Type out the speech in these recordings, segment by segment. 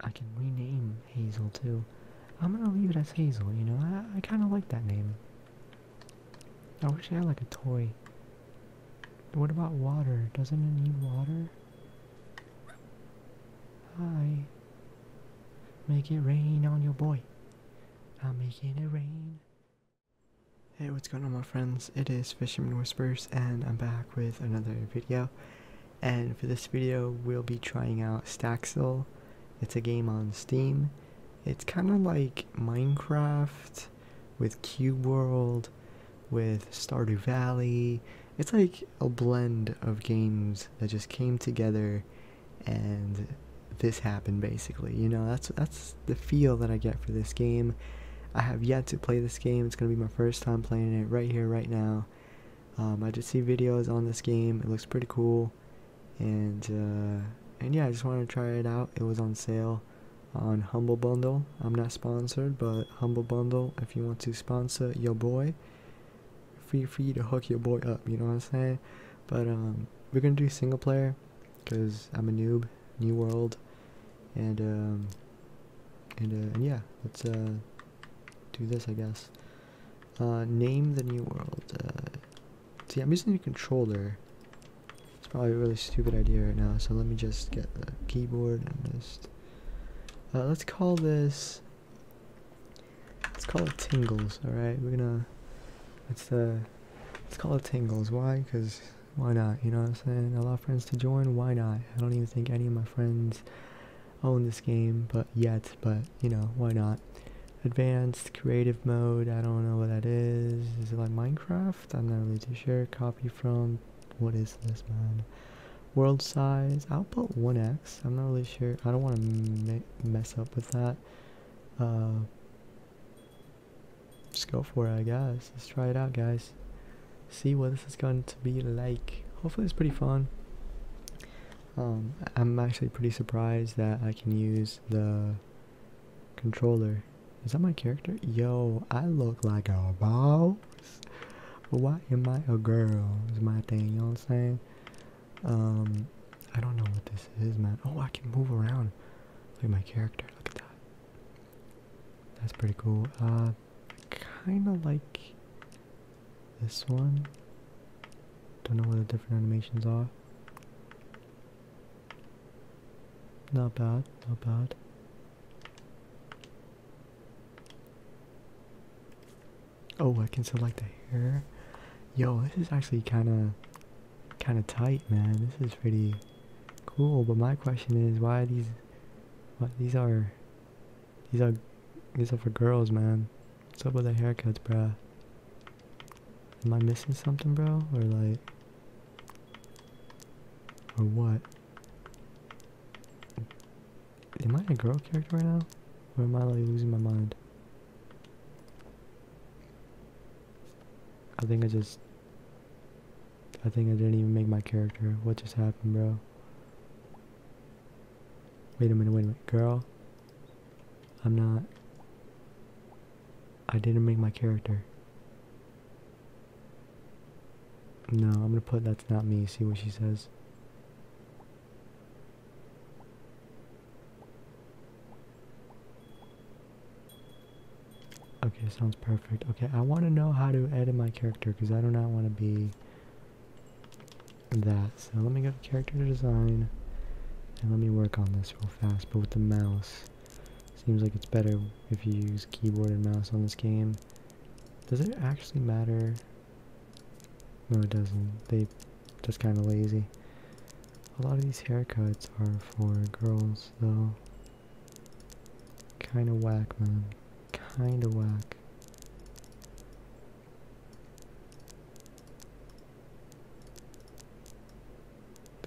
I can rename Hazel too. I'm gonna leave it as Hazel, you know, I, I kinda like that name. I wish I had like a toy. What about water? Doesn't it need water? Hi. Make it rain on your boy. I'm making it rain. Hey, what's going on my friends? It is Fisherman Whispers and I'm back with another video. And for this video, we'll be trying out Staxel. It's a game on Steam. It's kind of like Minecraft with Cube World, with Stardew Valley. It's like a blend of games that just came together and this happened basically. You know, that's that's the feel that I get for this game. I have yet to play this game. It's going to be my first time playing it right here, right now. Um, I just see videos on this game. It looks pretty cool. And, uh, and yeah, I just wanted to try it out. It was on sale on Humble Bundle. I'm not sponsored, but Humble Bundle, if you want to sponsor your boy, feel free to hook your boy up, you know what I'm saying? But um, we're going to do single player because I'm a noob New World, and um, and, uh, and yeah, let's uh, do this, I guess. Uh, name the New World. Uh, see, I'm using a controller. It's probably a really stupid idea right now, so let me just get the keyboard and just. Uh, let's call this. Let's call it Tingles. All right, we're gonna. gonna let's uh Let's call it Tingles. Why? Because why not? You know what I'm saying? a lot of friends to join, why not? I don't even think any of my friends own this game, but yet, but you know, why not? Advanced creative mode, I don't know what that is. Is it like Minecraft? I'm not really too sure. Copy from, what is this, man? World size, output 1x. I'm not really sure. I don't want to mess up with that. Uh, just go for it, I guess. Let's try it out, guys. See what this is going to be like. Hopefully, it's pretty fun. Um, I'm actually pretty surprised that I can use the controller. Is that my character? Yo, I look like a boss. but Why am I a girl? Is my thing, you know what I'm saying? Um, I don't know what this is, man. Oh, I can move around. Look at my character. Look at that. That's pretty cool. I uh, kind of like this one. Don't know what the different animations are. Not bad, not bad. Oh, I can select the hair. Yo, this is actually kind of, kind of tight, man. This is pretty, Cool, but my question is why these what these are these are these are for girls man. What's up with the haircuts, bruh? Am I missing something bro? Or like or what? Am I a girl character right now? Or am I like losing my mind? I think I just I think I didn't even make my character. What just happened, bro? Wait a minute, wait a minute. Girl, I'm not... I didn't make my character. No, I'm gonna put that's not me, see what she says. Okay, sounds perfect. Okay, I want to know how to edit my character because I do not want to be that. So let me go to character design and let me work on this real fast, but with the mouse. Seems like it's better if you use keyboard and mouse on this game. Does it actually matter? No, it doesn't. They just kind of lazy. A lot of these haircuts are for girls, though. Kinda whack, man. Kinda whack.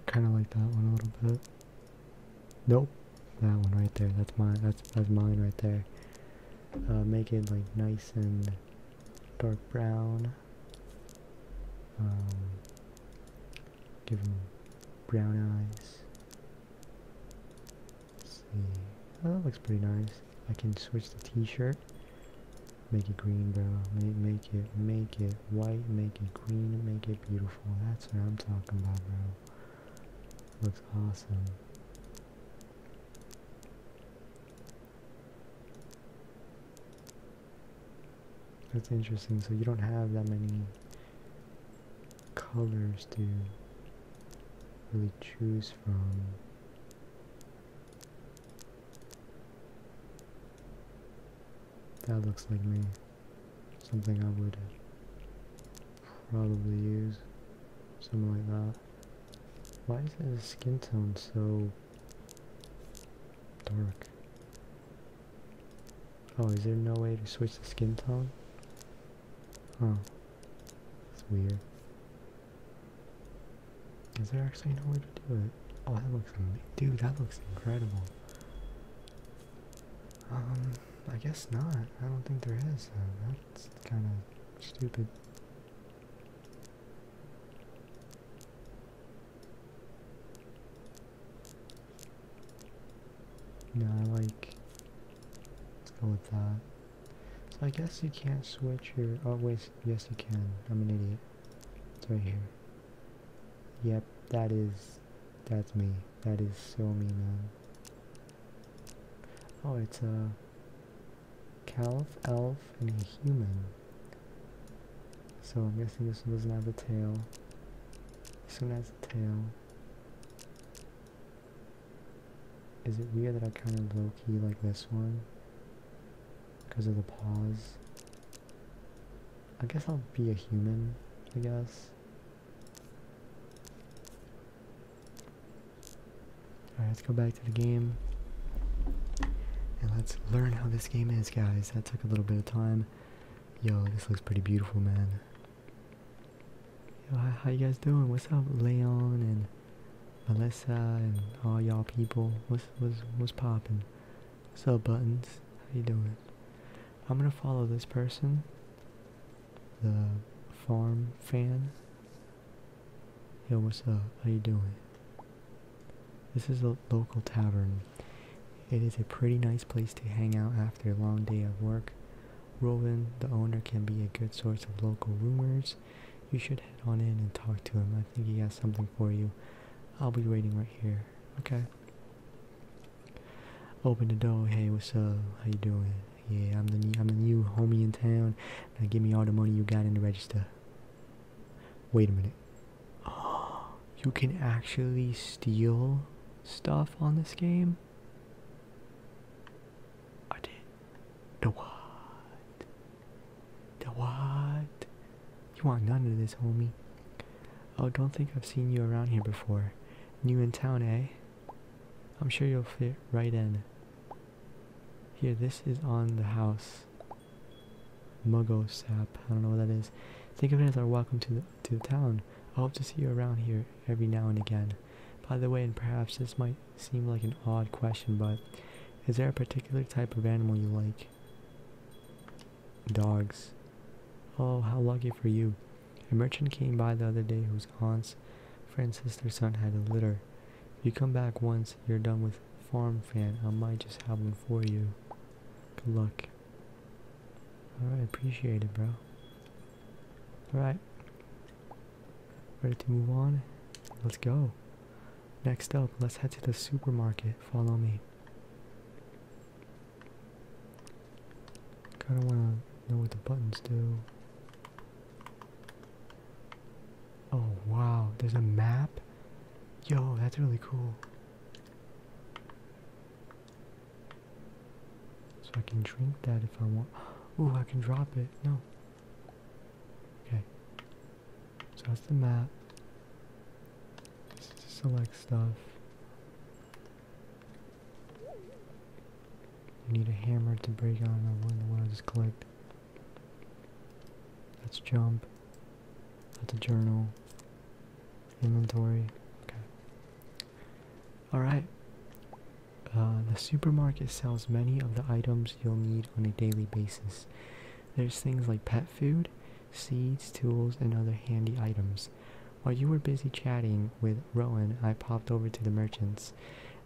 Kinda like that one a little bit. Nope. That one right there. That's mine. That's that's mine right there. Uh, make it like nice and dark brown. Um, Give him brown eyes. see. Oh, that looks pretty nice. I can switch the t-shirt. Make it green, bro. Make, make it, make it white, make it green, make it beautiful. That's what I'm talking about, bro. Looks awesome. That's interesting. So you don't have that many colors to really choose from. That looks like me. Something I would probably use. Something like that. Why is his skin tone so dark? Oh, is there no way to switch the skin tone? Huh. That's weird. Is there actually no way to do it? Oh, that looks Dude, that looks incredible. Um, I guess not. I don't think there is. that's kind of stupid. No, I like. Let's go with that. So I guess you can't switch your. Oh wait, yes you can. I'm an idiot. It's right here. Yep, that is. That's me. That is so me, man. Oh, it's a calf, elf, and a human. So I'm guessing this one doesn't have a tail. This one has a tail. Is it weird that I kind of low-key like this one? Because of the pause? I guess I'll be a human, I guess. Alright, let's go back to the game. And let's learn how this game is, guys. That took a little bit of time. Yo, this looks pretty beautiful, man. Yo, how, you guys doing? What's up, Leon and Melissa and all y'all people? What's what's what's popping? What's up, buttons? How you doing? I'm gonna follow this person, the farm fan. Yo, what's up? How you doing? This is a local tavern. It is a pretty nice place to hang out after a long day of work. Rowan, the owner, can be a good source of local rumors. You should head on in and talk to him. I think he has something for you. I'll be waiting right here. Okay. Open the door. Hey, what's up? How you doing? Yeah, I'm the new, I'm the new homie in town. Now give me all the money you got in the register. Wait a minute. Oh, you can actually steal stuff on this game. I did. The what? The what? You want none of this, homie. Oh, don't think I've seen you around here before. New in town, eh? I'm sure you'll fit right in. Here, this is on the house. Muggo sap. I don't know what that is. Think of it as our welcome to the to the town. I hope to see you around here every now and again. By the way, and perhaps this might seem like an odd question, but is there a particular type of animal you like? Dogs. Oh, how lucky for you. A merchant came by the other day whose aunt's friend's sister's son had a litter. If you come back once you're done with farm fan, I might just have one for you. Good luck. Alright, appreciate it, bro. Alright. Ready to move on? Let's go. Next up, let's head to the supermarket. Follow me. Kinda wanna know what the buttons do. Oh wow, there's a map? Yo, that's really cool. So I can drink that if I want. Ooh, I can drop it. No. Okay. Just that's the map. Just to select stuff. I need a hammer to break out on one. The one I just Let's jump. That's a journal. Inventory. Okay. Alright. Uh, the supermarket sells many of the items you'll need on a daily basis. There's things like pet food, seeds, tools, and other handy items. While you were busy chatting with Rowan, I popped over to the merchants.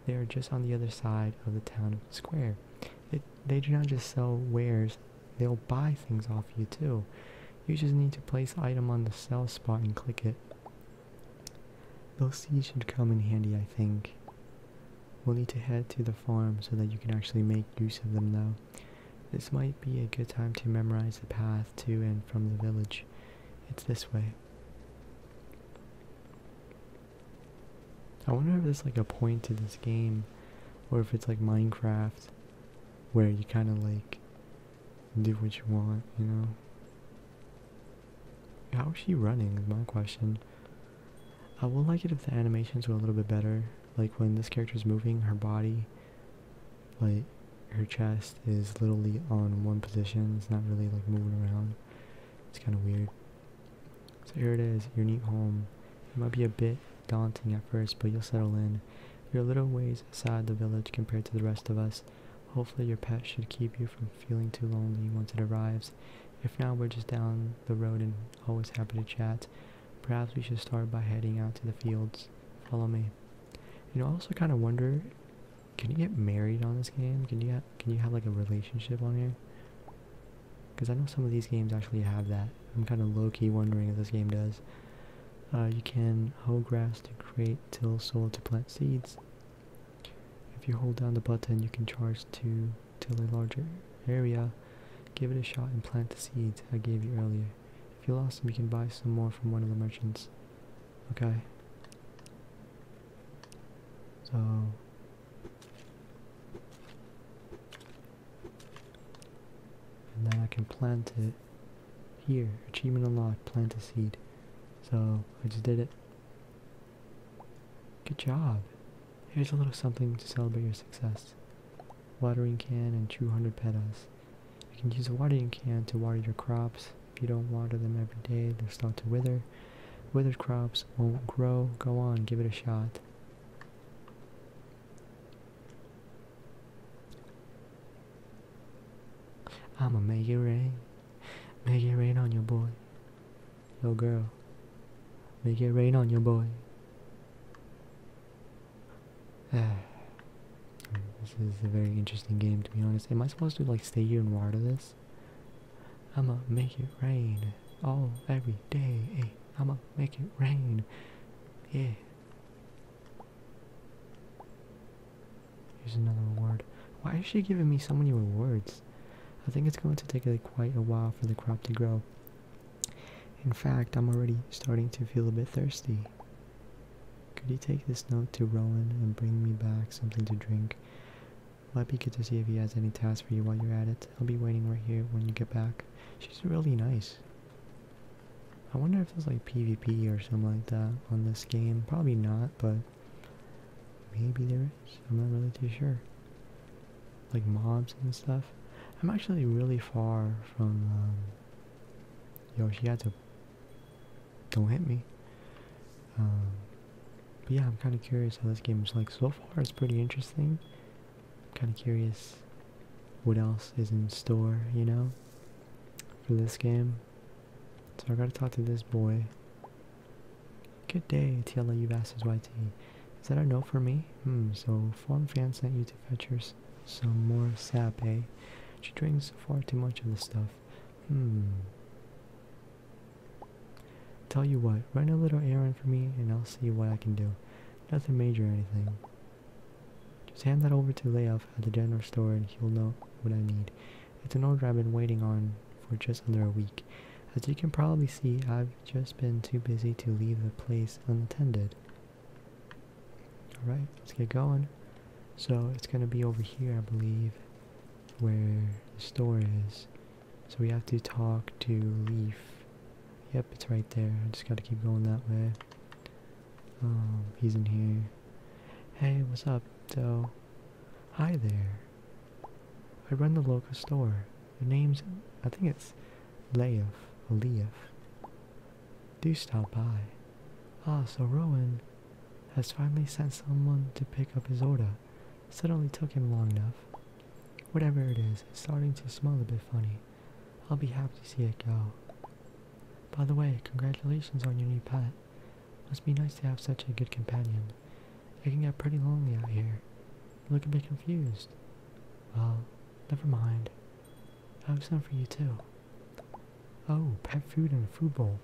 They are just on the other side of the town square. They, they do not just sell wares, they'll buy things off you too. You just need to place item on the sell spot and click it. Those seeds should come in handy, I think. We'll need to head to the farm so that you can actually make use of them though. This might be a good time to memorize the path to and from the village. It's this way. I wonder if there's like a point to this game or if it's like Minecraft where you kind of like do what you want, you know. How is she running is my question. I would like it if the animations were a little bit better. Like when this character is moving, her body, like her chest is literally on one position. It's not really like moving around. It's kind of weird. So here it is, your new home. It might be a bit daunting at first, but you'll settle in. You're a little ways aside, the village compared to the rest of us, Hopefully your pet should keep you from feeling too lonely once it arrives. If not, we're just down the road and always happy to chat. Perhaps we should start by heading out to the fields. Follow me. You know, I also kind of wonder, can you get married on this game? Can you can you have like a relationship on here? Because I know some of these games actually have that. I'm kind of low-key wondering if this game does. Uh, you can hoe grass to create till soil to plant seeds. If you hold down the button, you can charge to till a larger area. Give it a shot and plant the seeds I gave you earlier. If you lost them, you can buy some more from one of the merchants. Okay. So... And then I can plant it here, achievement unlocked, plant a seed. So, I just did it. Good job. Here's a little something to celebrate your success. Watering can and 200 petals. You can use a watering can to water your crops. If you don't water them every day, they'll start to wither. Withered crops won't grow. Go on, give it a shot. I'ma make it rain, make it rain on your boy, yo girl, make it rain on your boy. this is a very interesting game to be honest. Am I supposed to like stay here and water this? I'ma make it rain all every day. I'ma make it rain. Yeah. Here's another reward. Why is she giving me so many rewards? I think it's going to take quite a while for the crop to grow. In fact, I'm already starting to feel a bit thirsty. Could you take this note to Rowan and bring me back something to drink? Might be good to see if he has any tasks for you while you're at it. I'll be waiting right here when you get back. She's really nice. I wonder if there's like PvP or something like that on this game. Probably not, but maybe there is. I'm not really too sure. Like mobs and stuff. I'm actually really far from um, to. Don't hit me. Um, but yeah, I'm kind of curious how this game is like. So far, it's pretty interesting. kind of curious what else is in store, you know, for this game. So I gotta talk to this boy. Good day, Tiela, you've asked his YT. Is that a no for me? Hmm, so Form Fan sent you to fetch her some more sap, eh? She drinks far too much of the stuff. Hmm. Tell you what, run a little errand for me and I'll see what I can do. Nothing major or anything. Just hand that over to Layoff at the general store and he'll know what I need. It's an order I've been waiting on for just under a week. As you can probably see, I've just been too busy to leave the place unattended. Alright, let's get going. So it's going to be over here, I believe, where the store is. So we have to talk to Leaf. Yep, it's right there. I just got to keep going that way. Um, he's in here. Hey, what's up, Doe? Hi there. I run the local store. The name's, I think it's Leif Leif. Do stop by. Ah, so Rowan has finally sent someone to pick up his order. Suddenly took him long enough. Whatever it is, it's starting to smell a bit funny. I'll be happy to see it go. By the way, congratulations on your new pet. Must be nice to have such a good companion. I can get pretty lonely out here. You look a bit confused. Well, never mind. I have some for you too. Oh, pet food and a food bowl.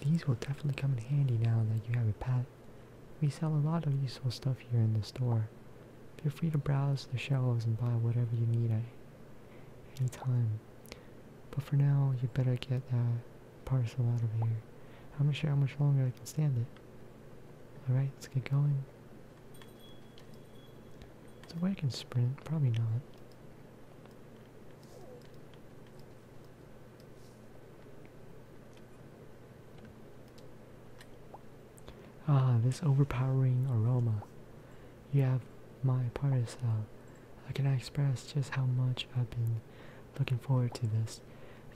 These will definitely come in handy now that you have a pet. We sell a lot of useful stuff here in the store. Feel free to browse the shelves and buy whatever you need at any time but for now, you better get that parcel out of here. I'm not sure how much longer I can stand it. Alright, let's get going. Is a way I can sprint? Probably not. Ah, this overpowering aroma. You have my parcel. I cannot express just how much I've been looking forward to this.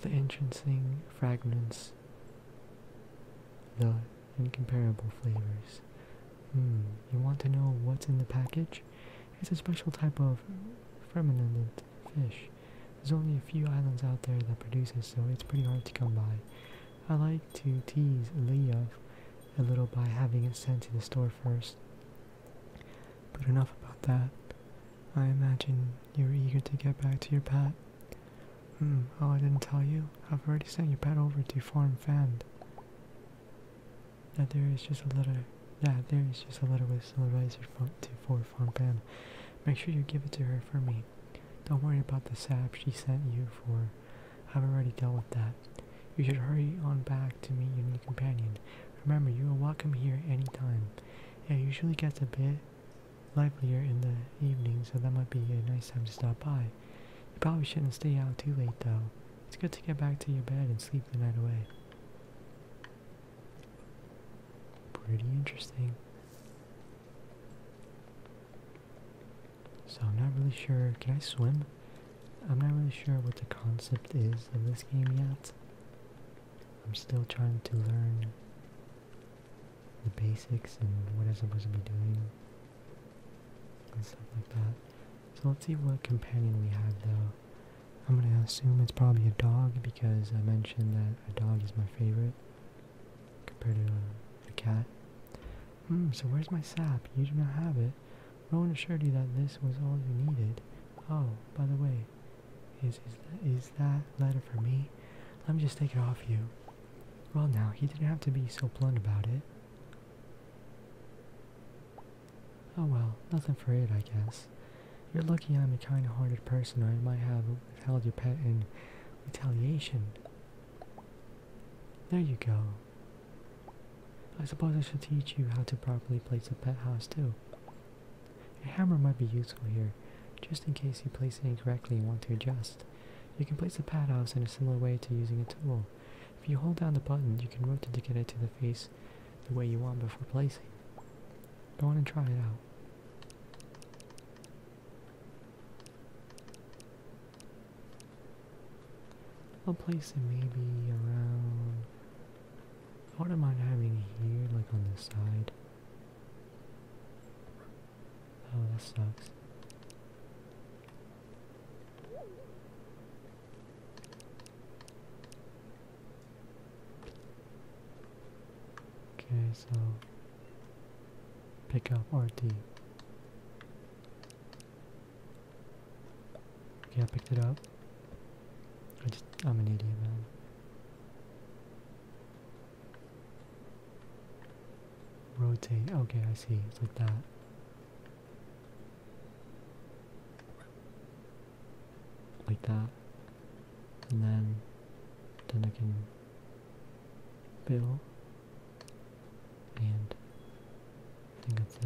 The entrancing fragments, the incomparable flavors. Hmm, you want to know what's in the package? It's a special type of fermented fish. There's only a few islands out there that produces, so it's pretty hard to come by. I like to tease Leah a little by having it sent to the store first. But enough about that. I imagine you're eager to get back to your pet. Hmm, oh, I didn't tell you. I've already sent your pet over to Farm Fand. Now there is just a letter. Yeah, there is just a letter with some advice for, to, for Farm Fand. Make sure you give it to her for me. Don't worry about the sap she sent you for. I've already dealt with that. You should hurry on back to meet your new companion. Remember, you are welcome here any time. It usually gets a bit livelier in the evening, so that might be a nice time to stop by. You probably shouldn't stay out too late, though. It's good to get back to your bed and sleep the night away. Pretty interesting. So I'm not really sure. Can I swim? I'm not really sure what the concept is of this game yet. I'm still trying to learn the basics and what I'm supposed to be doing and stuff like that. So let's see what companion we have though. I'm gonna assume it's probably a dog because I mentioned that a dog is my favorite compared to a, cat. Hmm, so where's my sap? You do not have it. Rowan assured you that this was all you needed. Oh, by the way, is, is, that, is that letter for me? Let me just take it off you. Well now, he didn't have to be so blunt about it. Oh well, nothing for it, I guess. You're lucky I'm a kind-hearted person or I might have withheld your pet in retaliation. There you go. I suppose I should teach you how to properly place a pet house too. A hammer might be useful here, just in case you place it incorrectly and want to adjust. You can place a pet house in a similar way to using a tool. If you hold down the button, you can rotate to get it to the face the way you want before placing. Go on and try it out. I'll place it maybe around. I wouldn't mind having it here, like on this side. Oh, this sucks. Okay, so pick up RT. Okay, I picked it up. I just, I'm an idiot, man. Rotate. Okay, I see. It's like that. Like that. And then, then I can build and I think that's it.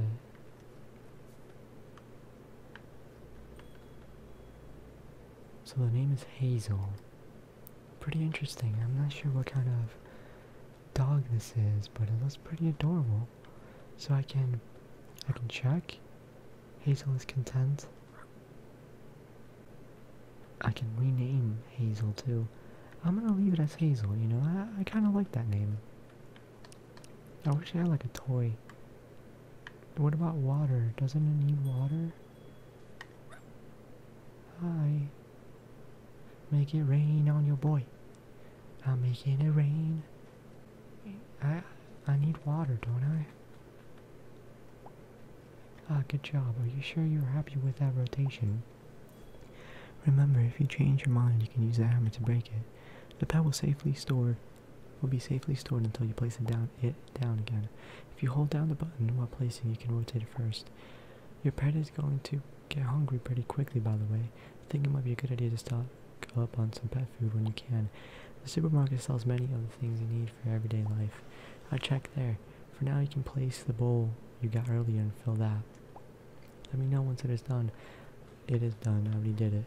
So the name is Hazel. Pretty interesting. I'm not sure what kind of dog this is, but it looks pretty adorable. So I can I can check. Hazel is content. I can rename Hazel too. I'm gonna leave it as Hazel, you know? I, I kinda like that name. I wish I had like a toy. What about water? Doesn't it need water? Hi. Make it rain on your boy. I'm making it rain. I I need water, don't I? Ah, good job. Are you sure you're happy with that rotation? Remember, if you change your mind, you can use the hammer to break it. The pet will safely store will be safely stored until you place it down it down again. If you hold down the button while placing, you can rotate it first. Your pet is going to get hungry pretty quickly, by the way. I think it might be a good idea to stock up on some pet food when you can. The supermarket sells many of the things you need for everyday life. I will check there. For now, you can place the bowl you got earlier and fill that. Let me know once it is done. It is done. I already did it.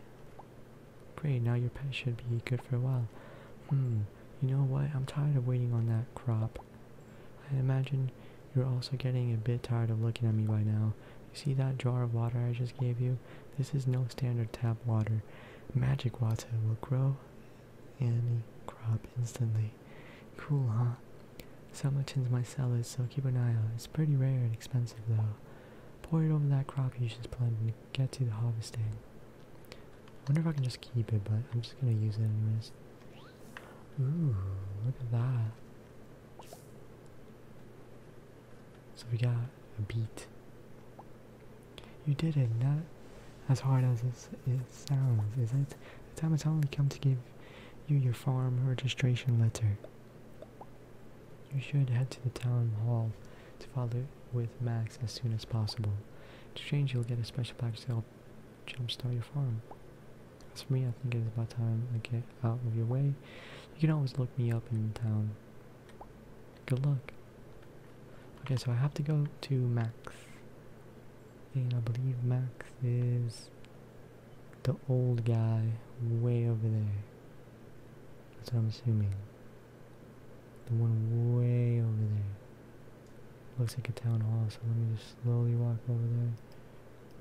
Great, now your pet should be good for a while. Hmm, you know what? I'm tired of waiting on that crop. I imagine you're also getting a bit tired of looking at me by now. You see that jar of water I just gave you? This is no standard tap water. Magic water will grow any crop instantly. Cool, huh? Summerton's my cell is, so keep an eye out. It's pretty rare and expensive, though. Pour it over that crop you just planted to get to the harvesting. wonder if I can just keep it, but I'm just gonna use it anyways. Ooh, look at that. So we got a beat. You did it, not as hard as it sounds, is it? The time has only come to give you your farm registration letter. You should head to the town hall to follow with Max as soon as possible. Strange, you'll get a special package to help jumpstart your farm. As for me, I think it is about time I get out of your way. You can always look me up in town. Good luck. Okay, so I have to go to Max. And I believe Max is the old guy way over there. That's what I'm assuming. The one way over there. Looks like a town hall, so let me just slowly walk over there.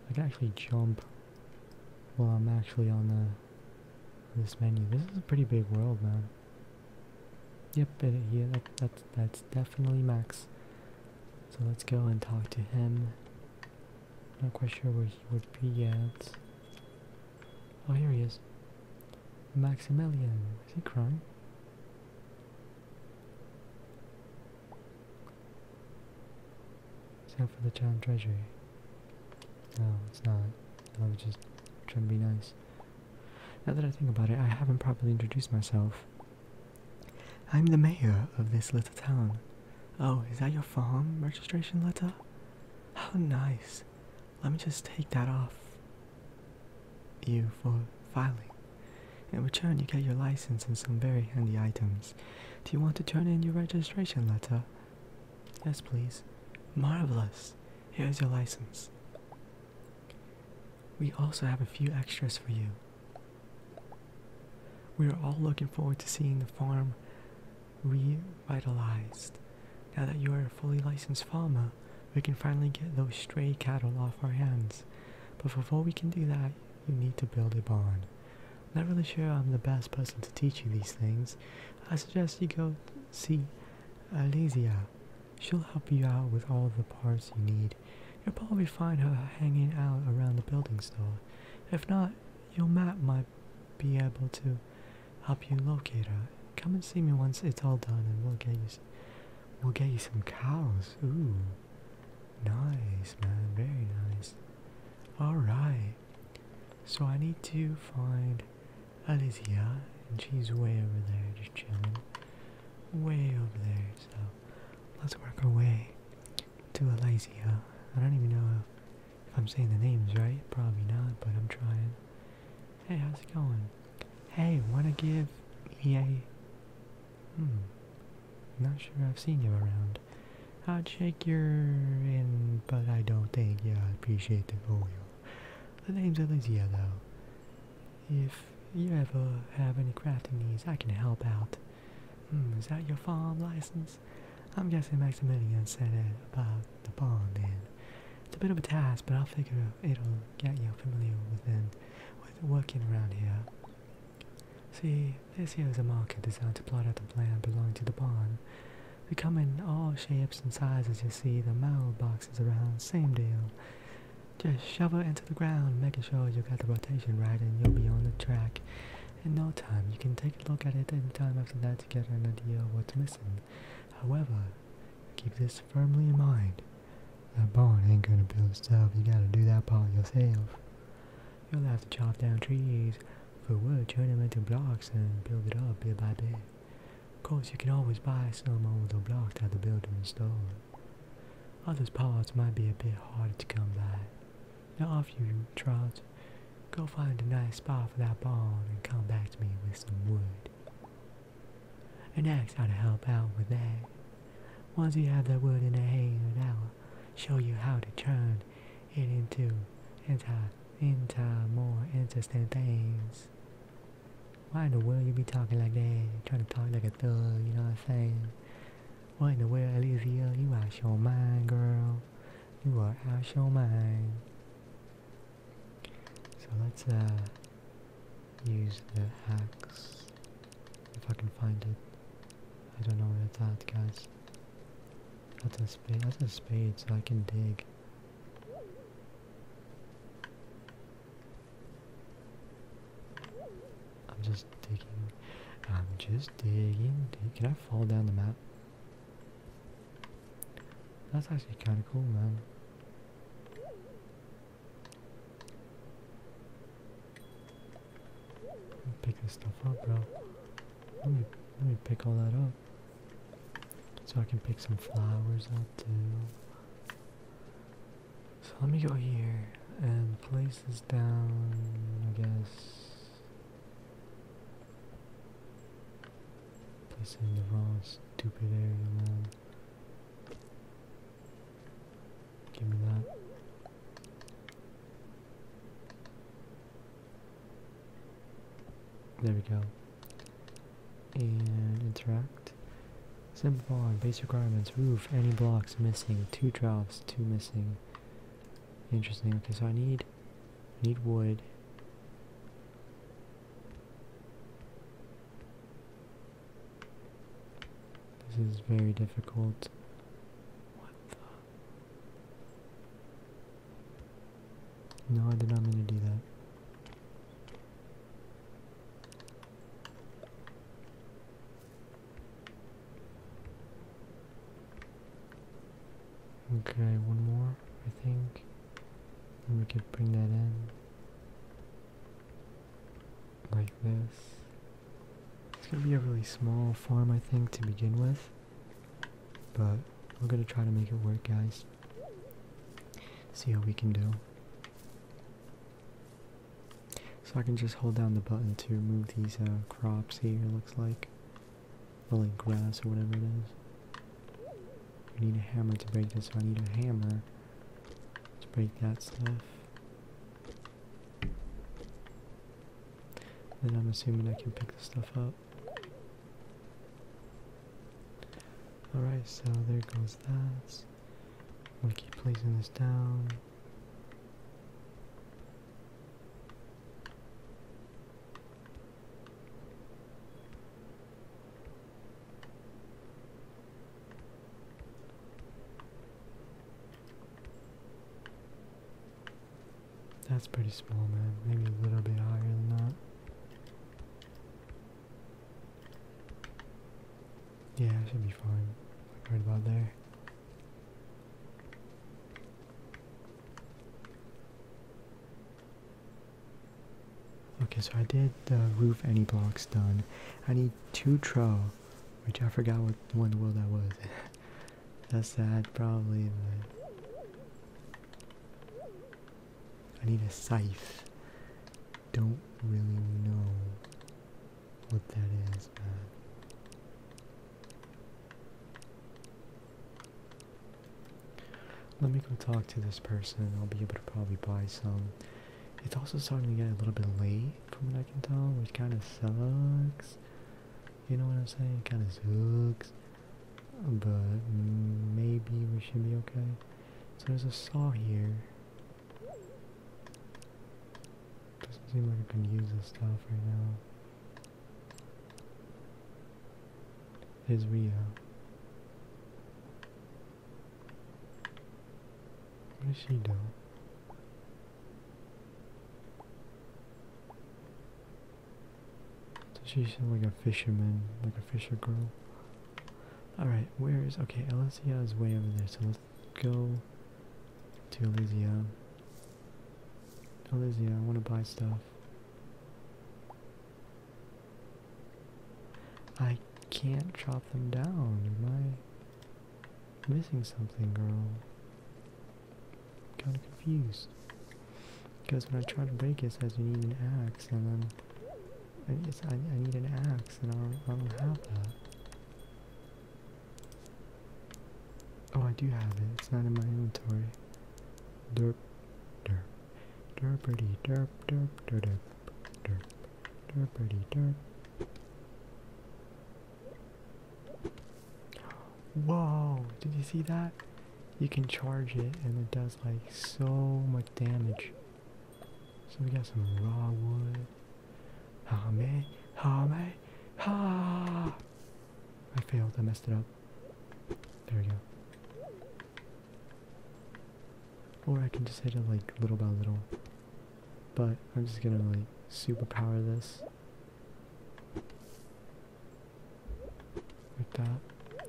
I can actually jump while I'm actually on the this menu. This is a pretty big world, man. Yep, yeah, that's, that's definitely Max. So let's go and talk to him. Not quite sure where he would be yet. Oh, here he is. Maximilian. Is he crying? Sell for the town treasury. No, it's not. I was just trying to be nice. Now that I think about it, I haven't properly introduced myself. I'm the mayor of this little town. Oh, is that your farm registration letter? How nice. Let me just take that off you for filing. In return, you get your license and some very handy items. Do you want to turn in your registration letter? Yes, please. Marvelous. Here's your license. We also have a few extras for you. We are all looking forward to seeing the farm revitalized. Now that you are a fully licensed farmer, we can finally get those stray cattle off our hands. But before we can do that, you need to build a barn. I'm not really sure I'm the best person to teach you these things. I suggest you go see Alicia. She'll help you out with all the parts you need. You'll probably find her hanging out around the building store. If not, your map might be able to help you locate her. Come and see me once it's all done, and we'll get you. We'll get you some cows. Ooh, nice, man. Very nice. All right. So I need to find Alicia, and she's way over there, just chilling, way over there. So let's work our way to Alicia. I don't even know I'm saying the names right, probably not, but I'm trying. Hey, how's it going? Hey, wanna give me a... Hmm. Not sure I've seen you around. I'd shake your hand, but I don't think, you I appreciate the oil. The name's Elysia, though. If you ever have any crafting needs, I can help out. Hmm, is that your farm license? I'm guessing Maximilian said it about the pond, and it's a bit of a task, but I'll figure it'll get you familiar with them, with working around here. See, this here is a market designed to plot out the land belonging to the pond. We come in all shapes and sizes, you see, the mailbox is around, same deal. Just shove it into the ground, making sure you got the rotation right and you'll be on the track in no time, you can take a look at it any time after that to get an idea of what's missing. However, keep this firmly in mind. That barn ain't gonna build itself, you gotta do that part yourself. You'll have to chop down trees for wood, turn them into blocks, and build it up bit by bit. Of course, you can always buy some of the blocks that the builder installed. Other parts might be a bit harder to come by. Now off you trot. Go find a nice spot for that barn and come back to me with some wood. And next, how to help out with that. Once you have the wood in the hand, I'll show you how to turn it into into, into more interesting things. Why in the world you be talking like that? Trying to talk like a thug, you know what I'm saying? What in the world, Alicia? You out your mind, girl you are out your mind. So let's uh, use the axe, if I can find it. I don't know where it's at, That's a spade. That's a spade, so I can dig. I'm just digging. I'm just digging. Can I fall down the map? That's actually kind of cool, man. Pick this stuff up, bro. Let me let me pick all that up, so I can pick some flowers up too. So let me go here and place this down. I guess this is the wrong stupid area, man. Give me that. There we go. And interact. Simple on base requirements. Roof. Any blocks missing. Two drops. Two missing. Interesting. Okay, so I need Need wood. This is very difficult. What the? No, I did not mean to do that. Okay, one more, I think. And we can bring that in. Like this. It's gonna be a really small farm, I think, to begin with. But we're gonna try to make it work, guys. See how we can do. So I can just hold down the button to move these uh, crops here, looks like or like grass or whatever it is. I need a hammer to break this, so I need a hammer to break that stuff. Then I'm assuming I can pick the stuff up. Alright, so there goes that. I'm gonna keep placing this down. That's pretty small, man. Maybe a little bit higher than that. Yeah, I should be fine. Like right about there. Okay, so I did the roof any blocks done. I need two tro, which I forgot what one the world that was. That's sad, probably, I need a scythe. Don't really know what that is, man. Let me go talk to this person. I'll be able to probably buy some. It's also starting to get a little bit late from what I can tell, which kind of sucks. You know what I'm saying? kind of sucks. But maybe we should be okay. So there's a saw here. Doesn't seem like I can use this stuff right now. Is Rio. Uh, what is she doing? Does she sound like a fisherman, like a fisher girl? Alright, where is... Okay, Elysia is way over there, so let's go to Elysia. Elysia, I want to buy stuff. I can't chop them down. Am I missing something, girl? kind of confused. Because when I try to break it, says you need an axe, and I'm I, I need an axe, and I don't, I don't have that. Oh, I do have it. It's not in my inventory. Derp. Whoa! Did you see that? You can charge it and it does like so much damage. So we got some raw wood. Ha me, ha! I failed, I messed it up. There we go. Or I can just hit it like little by little. But I'm just gonna like superpower this. Like that.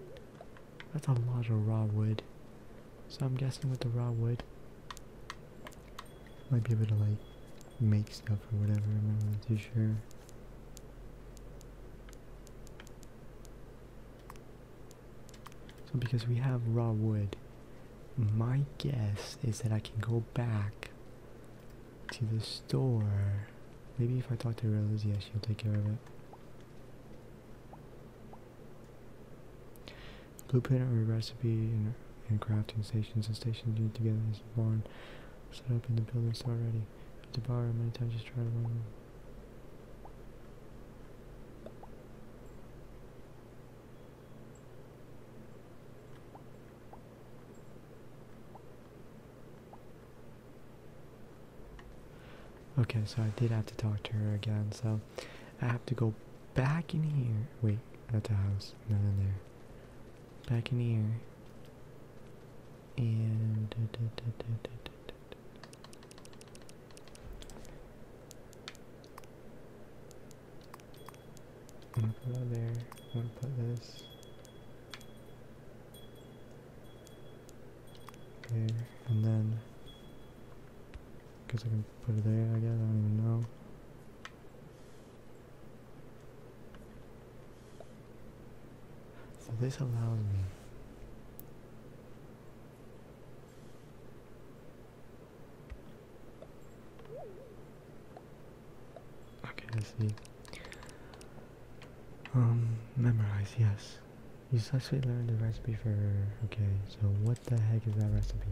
That's a lot of raw wood. So I'm guessing with the raw wood, might be able to like make stuff or whatever, I'm not really too sure. So because we have raw wood, my guess is that I can go back to the store. Maybe if I talk to Relizia, she'll take care of it. Blueprint of recipe and, crafting stations and stations need to get this barn set up in the buildings already the the bar many times just try to run. Okay, so I did have to talk to her again, so I have to go back in here. Wait, at the house, not in there. Back in here and put that there. i to put this there, and then I guess I can put it there. I guess I don't even know. So this allows me Okay, let's see. Um, memorize, yes. You actually learned the recipe for... Okay, so what the heck is that recipe?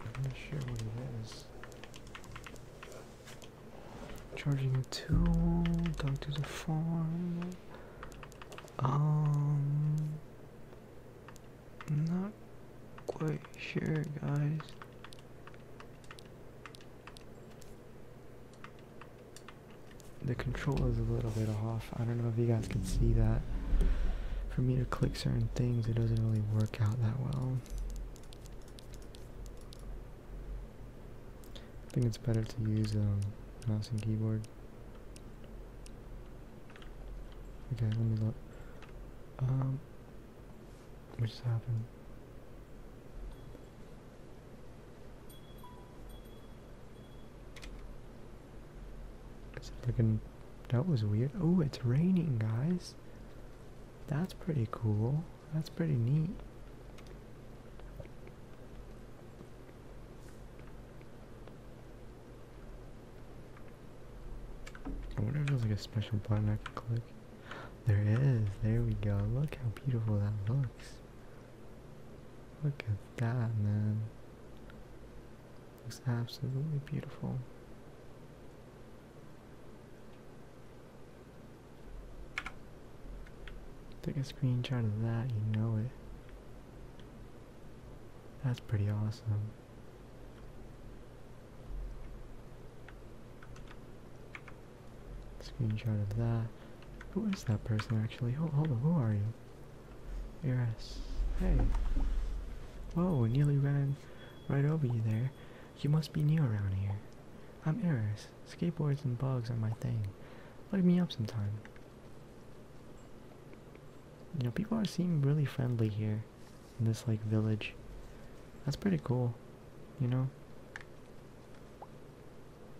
I'm not sure what it is. Charging a tool, talk to the farm. Um, not quite sure, guys. The control is a little bit off. I don't know if you guys can see that. For me to click certain things, it doesn't really work out that well. I think it's better to use a um, mouse and keyboard. Okay, let me look. Um, what just happened? Looking, that was weird. Oh, it's raining, guys. That's pretty cool. That's pretty neat. I wonder if there's like a special button I can click. There is. There we go. Look how beautiful that looks. Look at that, man. Looks absolutely beautiful. Take a screenshot of that, you know it. That's pretty awesome. Screenshot of that. Who is that person actually? Hold, on, who are you? ARS. Hey. Whoa, nearly ran right over you there. You must be new around here. I'm Eris. Skateboards and bugs are my thing. Look me up sometime. You know, people are seem really friendly here in this, like, village. That's pretty cool, you know?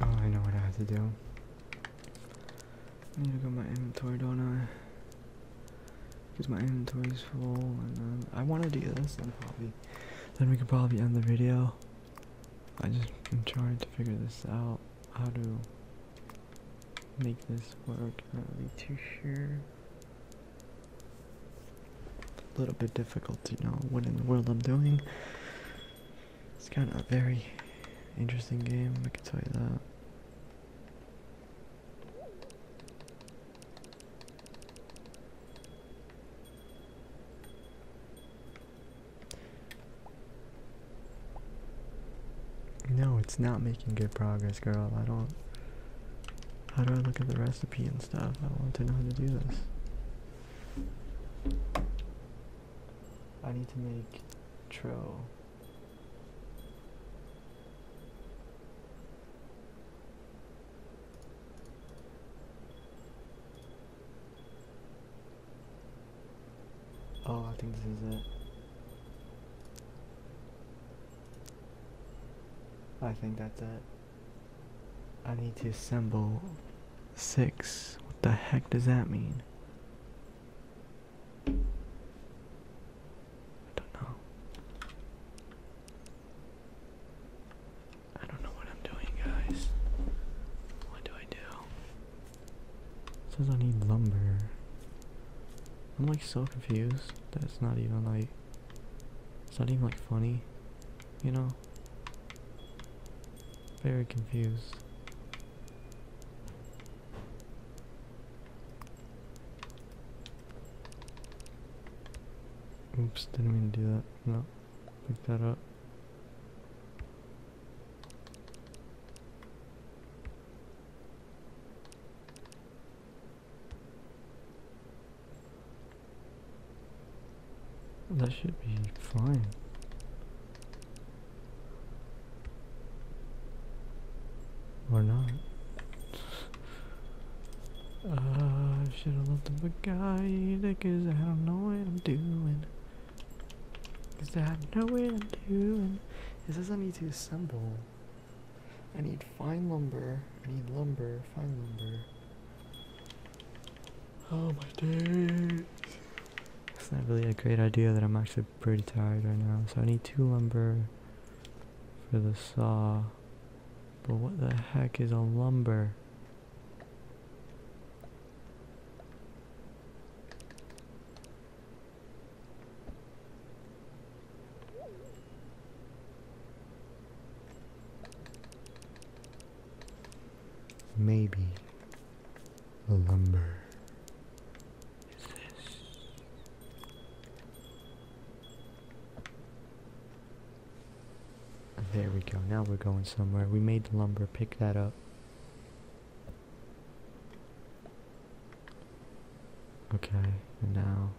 Oh, I know what I have to do. I need to go my inventory, don't I? Because my inventory is full, and then I want to do this, and probably then we could probably end the video. I just am trying to figure this out, how to make this work. Not really too sure. A little bit difficult to know what in the world I'm doing. It's kind of a very interesting game, I can tell you that. No, it's not making good progress, girl. I don't. How do I look at the recipe and stuff? I want to know how to do this. I need to make True. Oh, I think this is it. I think that's it. I need to assemble six. What the heck does that mean? I don't know. I don't know what I'm doing, guys. What do I do? says I need lumber. I'm like so confused that it's not even like it's not even like funny, you know? Very confused. Oops, didn't mean to do that. No, pick that up. That should be fine. Or not. Uh, I should've left them guide, cause I don't know what I'm doing. Cause I know what I'm doing. This says not need to assemble. I need fine lumber. I need lumber, fine lumber. Oh my days. It's not really a great idea that I'm actually pretty tired right now, so I need two lumber for the saw. But what the heck is a lumber? Maybe lumber there we go. Now we're going somewhere. We made the lumber. Pick that up. Okay, and now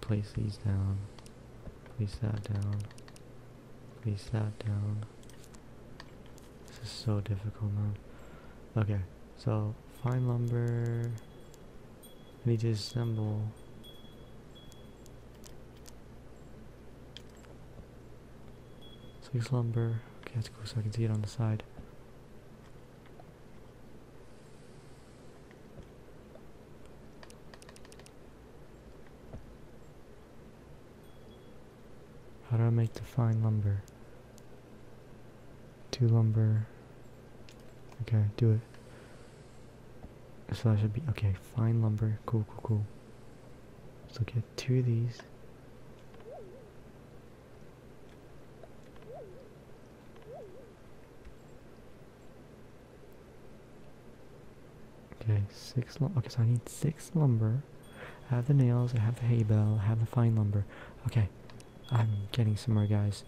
place these down. Place that down. Place that down. This is so difficult, man. Okay, so fine lumber. need to assemble. Six lumber. Okay, that's cool. So I can see it on the side. How do I make the fine lumber? Two lumber. Okay, do it. So that should be, okay, fine lumber. Cool, cool, cool. So get two of these. Okay, six lumber. Okay, so I need six lumber. I have the nails, I have the hay bale, I have the fine lumber. Okay, I'm getting somewhere, guys.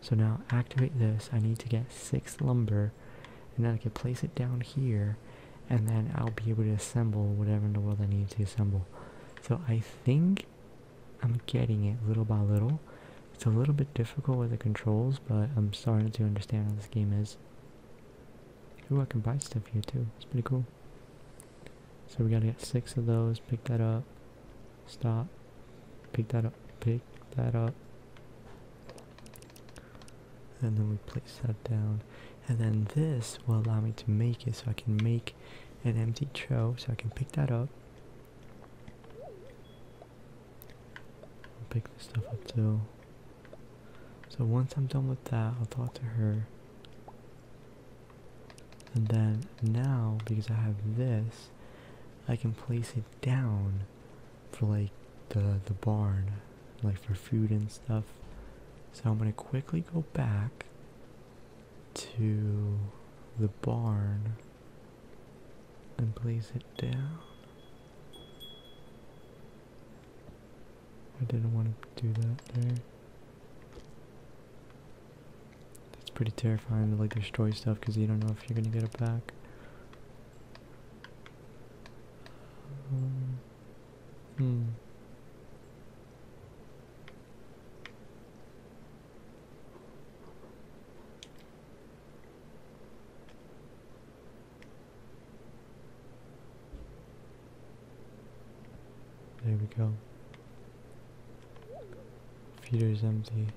So now activate this. I need to get six lumber, and then I can place it down here, and then I'll be able to assemble whatever in the world I need to assemble. So I think I'm getting it little by little. It's a little bit difficult with the controls, but I'm starting to understand how this game is. Ooh, I can buy stuff here too. It's pretty cool. So we gotta get six of those, pick that up, stop, pick that up, pick that up. And then we place that down. And then this will allow me to make it, so I can make an empty tray, so I can pick that up. pick this stuff up too. So once I'm done with that, I'll talk to her. And then now, because I have this, I can place it down for like the, the barn, like for food and stuff. So I'm going to quickly go back to the barn and place it down. I didn't want to do that there. It's pretty terrifying to like destroy stuff because you don't know if you're gonna get it back. Um, hmm. There we go. Feeder is empty.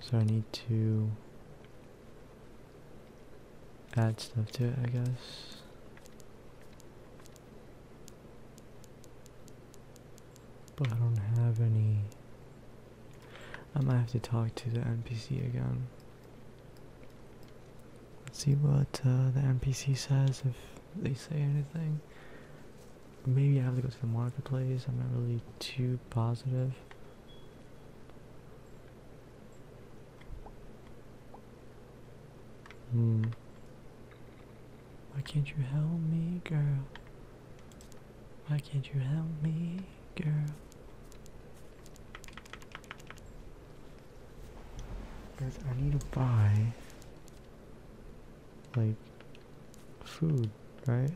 So I need to add stuff to it, I guess. But I don't have any... I might have to talk to the NPC again. Let's see what uh, the NPC says if they say anything. Maybe I have to go to the marketplace. I'm not really too positive. Hmm. Why can't you help me, girl? Why can't you help me, girl? Because I need to buy like food, right?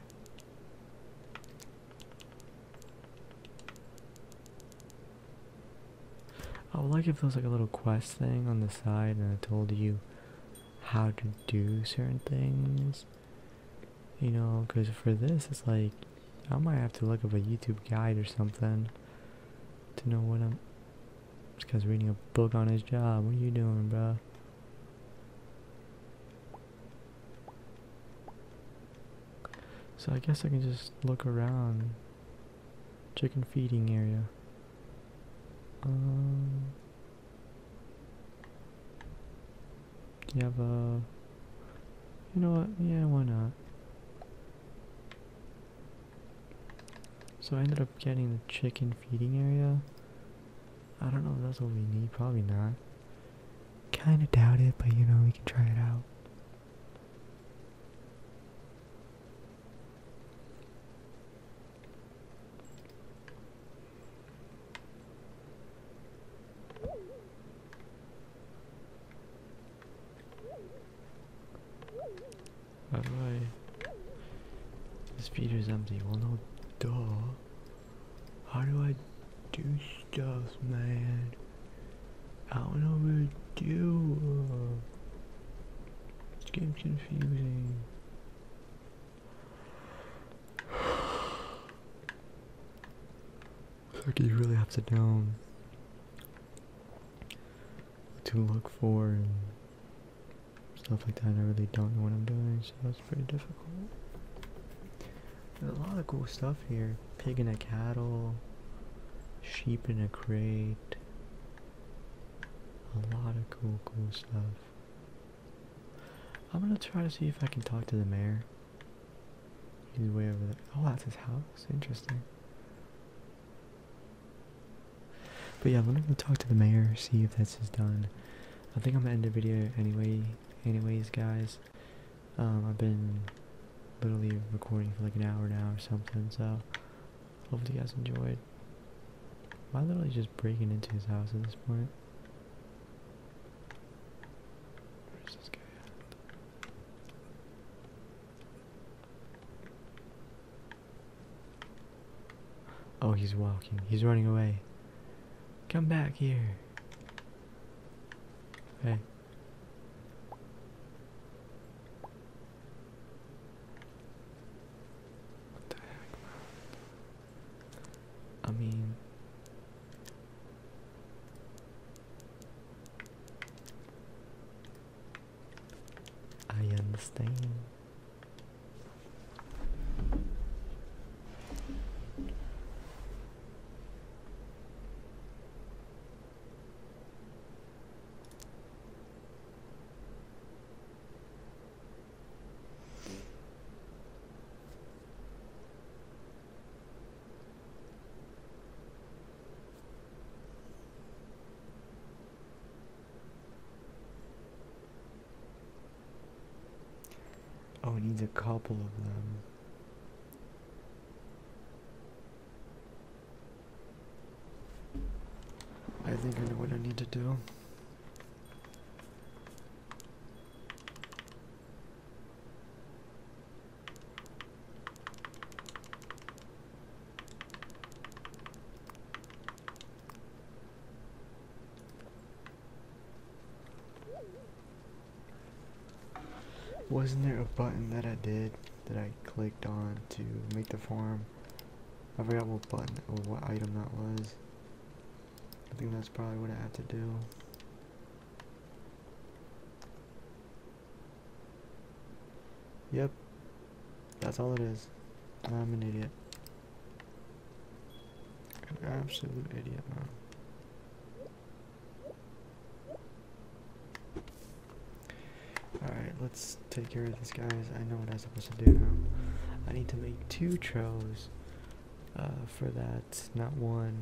I would like if there was like a little quest thing on the side and it told you how to do certain things. You know, because for this, it's like, I might have to look up a YouTube guide or something to know what I'm this guy's reading a book on his job. What are you doing, bro? So I guess I can just look around. Chicken feeding area. Um, you have a... You know what? Yeah, why not? So I ended up getting the chicken feeding area. I don't know if that's what we need, probably not. Kinda doubt it, but you know, we can try it out. By the way, this empty. Well, no, door. How do I do stuff, man? I don't know what to do. This game's confusing. like you really have to know to look for and stuff like that. I really don't know what I'm doing, so that's pretty difficult. There's a lot of cool stuff here. Pig in a cattle, sheep in a crate. A lot of cool, cool stuff. I'm gonna try to see if I can talk to the mayor. He's way over there. Oh, that's his house. Interesting. But yeah, let me go talk to the mayor, see if this is done. I think I'm gonna end the video anyway. Anyways, guys, um, I've been literally recording for like an hour now or something. So hopefully you guys enjoyed. Am I literally just breaking into his house at this point? Where's this guy at? Oh, he's walking. He's running away. Come back here. Hey. What the heck, man? I mean. I understand. Oh, it needs a couple of them. I think I know what I need to do. Wasn't there a button that I did that I clicked on to make the farm? I forgot what button or what item that was. I think that's probably what I had to do. Yep, that's all it is. I'm an idiot. An absolute idiot, man. Alright, let's take care of this, guys. I know what I'm supposed to do now. I need to make two trolls uh, for that, not one.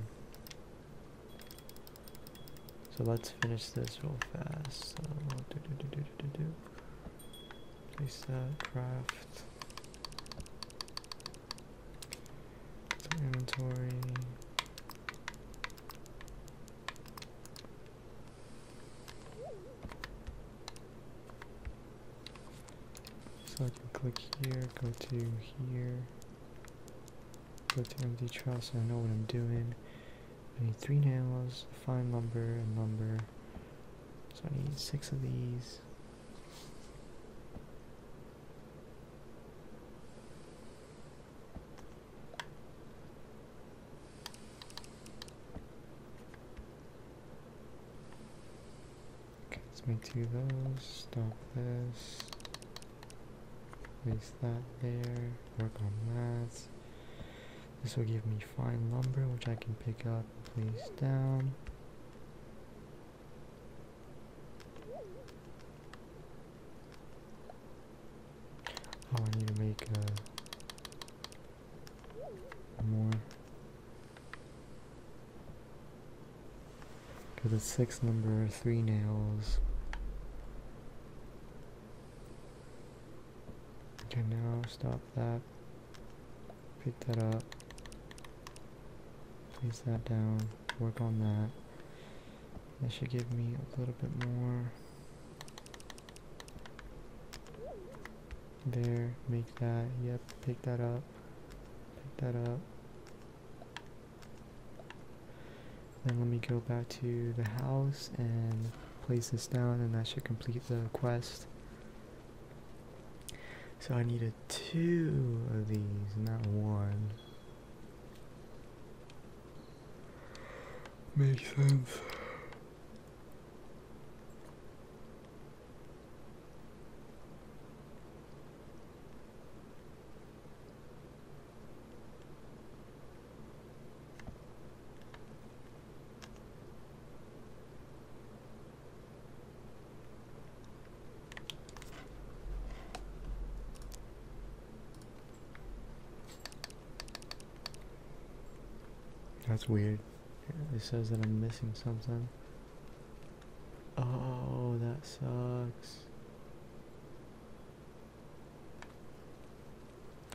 So let's finish this real fast. Lisa craft inventory. So I can click here, go to here, go to empty trust, so I know what I'm doing. I need three nails, a fine lumber, and lumber. So I need six of these. Okay, let's make two of those. Stop this. Place that there. Work on that. This will give me fine lumber, which I can pick up, place down. Oh, I need to make uh, more. Because it's six number, three nails. Okay, now stop that. Pick that up. Place that down. Work on that. That should give me a little bit more. There, make that. Yep, pick that up. Pick that up. Then let me go back to the house and place this down and that should complete the quest. So I needed two of these, not one. Makes sense. That's weird. It says that I'm missing something. Oh, that sucks.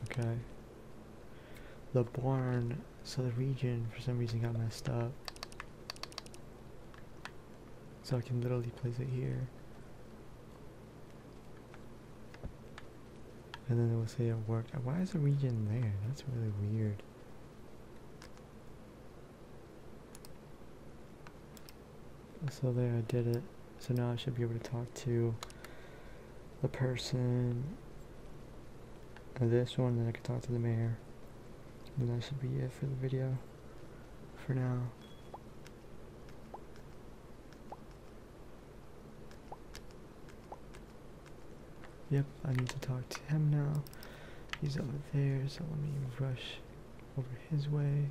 Okay. The barn, so the region for some reason got messed up. So I can literally place it here. And then it will say it worked. Why is the region there? That's really weird. So there I did it. So now I should be able to talk to the person, this one, then I can talk to the mayor. And that should be it for the video for now. Yep, I need to talk to him now. He's over there, so let me rush over his way.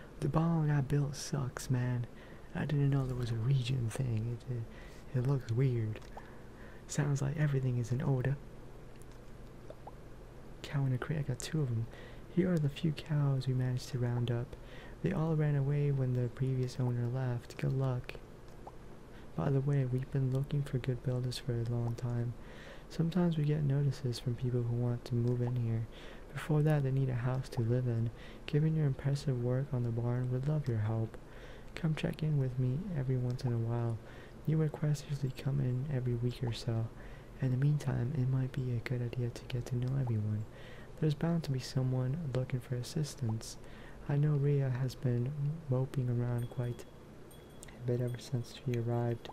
The barn I built sucks, man. I didn't know there was a region thing. It, it, it looks weird. Sounds like everything is in order. Cow in a crate. I got two of them. Here are the few cows we managed to round up. They all ran away when the previous owner left. Good luck. By the way, we've been looking for good builders for a long time. Sometimes we get notices from people who want to move in here. Before that, they need a house to live in. Given your impressive work on the barn, we would love your help. Come check in with me every once in a while. You requests usually come in every week or so. In the meantime, it might be a good idea to get to know everyone. There's bound to be someone looking for assistance. I know Ria has been moping around quite a bit ever since she arrived.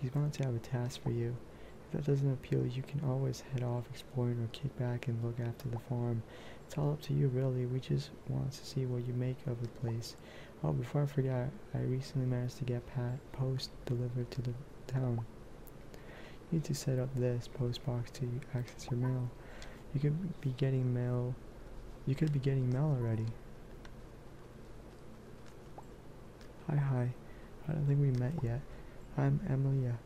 She's going to have a task for you. If that doesn't appeal, you can always head off exploring or kick back and look after the farm. It's all up to you, really. We just want to see what you make of the place. Oh, before I forget, I recently managed to get post delivered to the town. You need to set up this post box to access your mail. You could be getting mail. You could be getting mail already. Hi, hi. I don't think we met yet. I'm Emilia.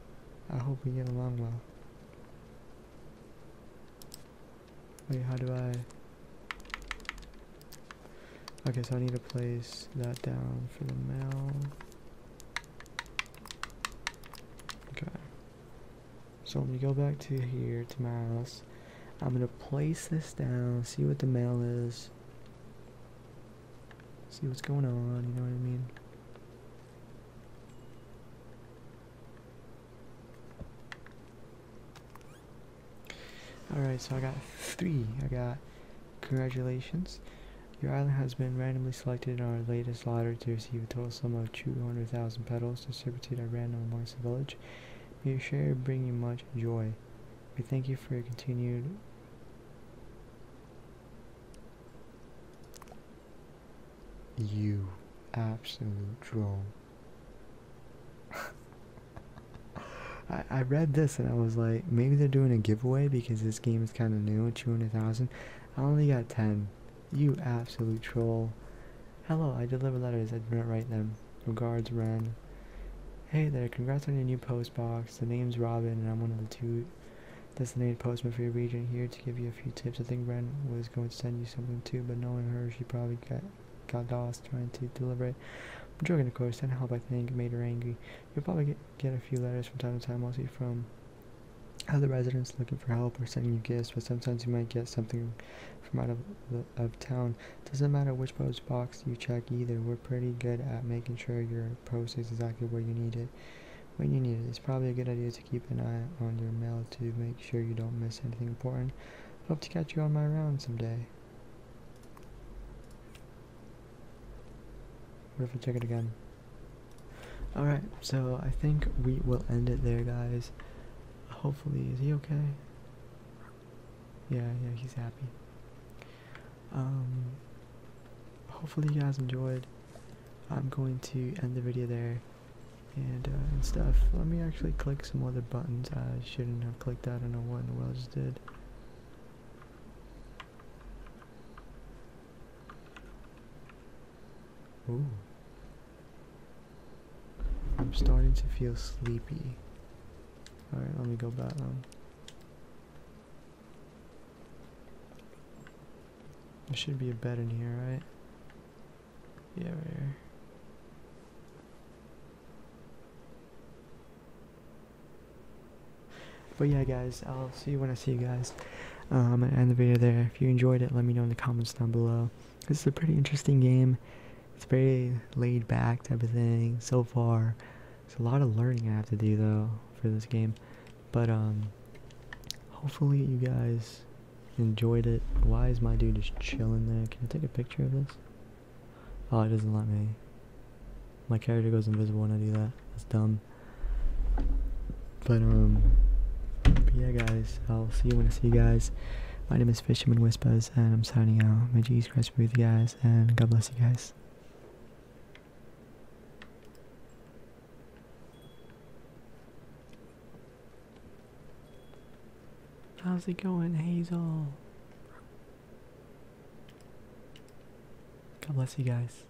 I hope we get along well. Wait, how do I... Okay, so I need to place that down for the mail. Okay. So I'm gonna go back to here, to my house. I'm gonna place this down, see what the mail is see what's going on, you know what I mean? Alright, so I got three. I got, congratulations. Your island has been randomly selected in our latest lottery to receive a total sum of 200,000 petals distributed at random amongst the village. May your share bring you much joy. We thank you for your continued You absolute troll. I, I read this and I was like, maybe they're doing a giveaway because this game is kind of new at 200,000. I only got 10. You absolute troll. Hello, I deliver letters. I do not write them. Regards, ran. Hey there, congrats on your new post box. The name's Robin, and I'm one of the two designated postmen for your region here to give you a few tips. I think Ren was going to send you something too, but knowing her, she probably got, got lost trying to deliberate. I'm joking, of course, and help I think made her angry. You'll probably get, get a few letters from time to time, mostly from other residents looking for help or sending you gifts, but sometimes you might get something from out of, the, of town. Doesn't matter which post box you check either, we're pretty good at making sure you're post is exactly where you need it when you need it. It's probably a good idea to keep an eye on your mail to make sure you don't miss anything important. Hope to catch you on my round someday. What if I check it again? Alright, so I think we will end it there, guys. Hopefully, is he okay? Yeah, yeah, he's happy um, hopefully you guys enjoyed. I'm going to end the video there uh, and, stuff. Let me actually click some other buttons I shouldn't have clicked. I don't know what in the world I just did. Ooh. I'm starting to feel sleepy. Alright, let me go back on. There should be a bed in here, right? Yeah, right here. But yeah, guys, I'll see you when I see you guys. Um, and end the video there. If you enjoyed it, let me know in the comments down below. This is a pretty interesting game. It's very laid back type of thing so far. It's a lot of learning I have to do though for this game, but um, hopefully you guys enjoyed it. Why is my dude just chilling there? Can I take a picture of this? Oh, it doesn't let me. My character goes invisible when I do that. That's dumb. But um, yeah, guys, I'll see you when I see you guys. My name is Fisherman Whispers, and I'm signing out. May Jesus Christ be with you guys, and God bless you guys. How's it going, Hazel? God bless you guys.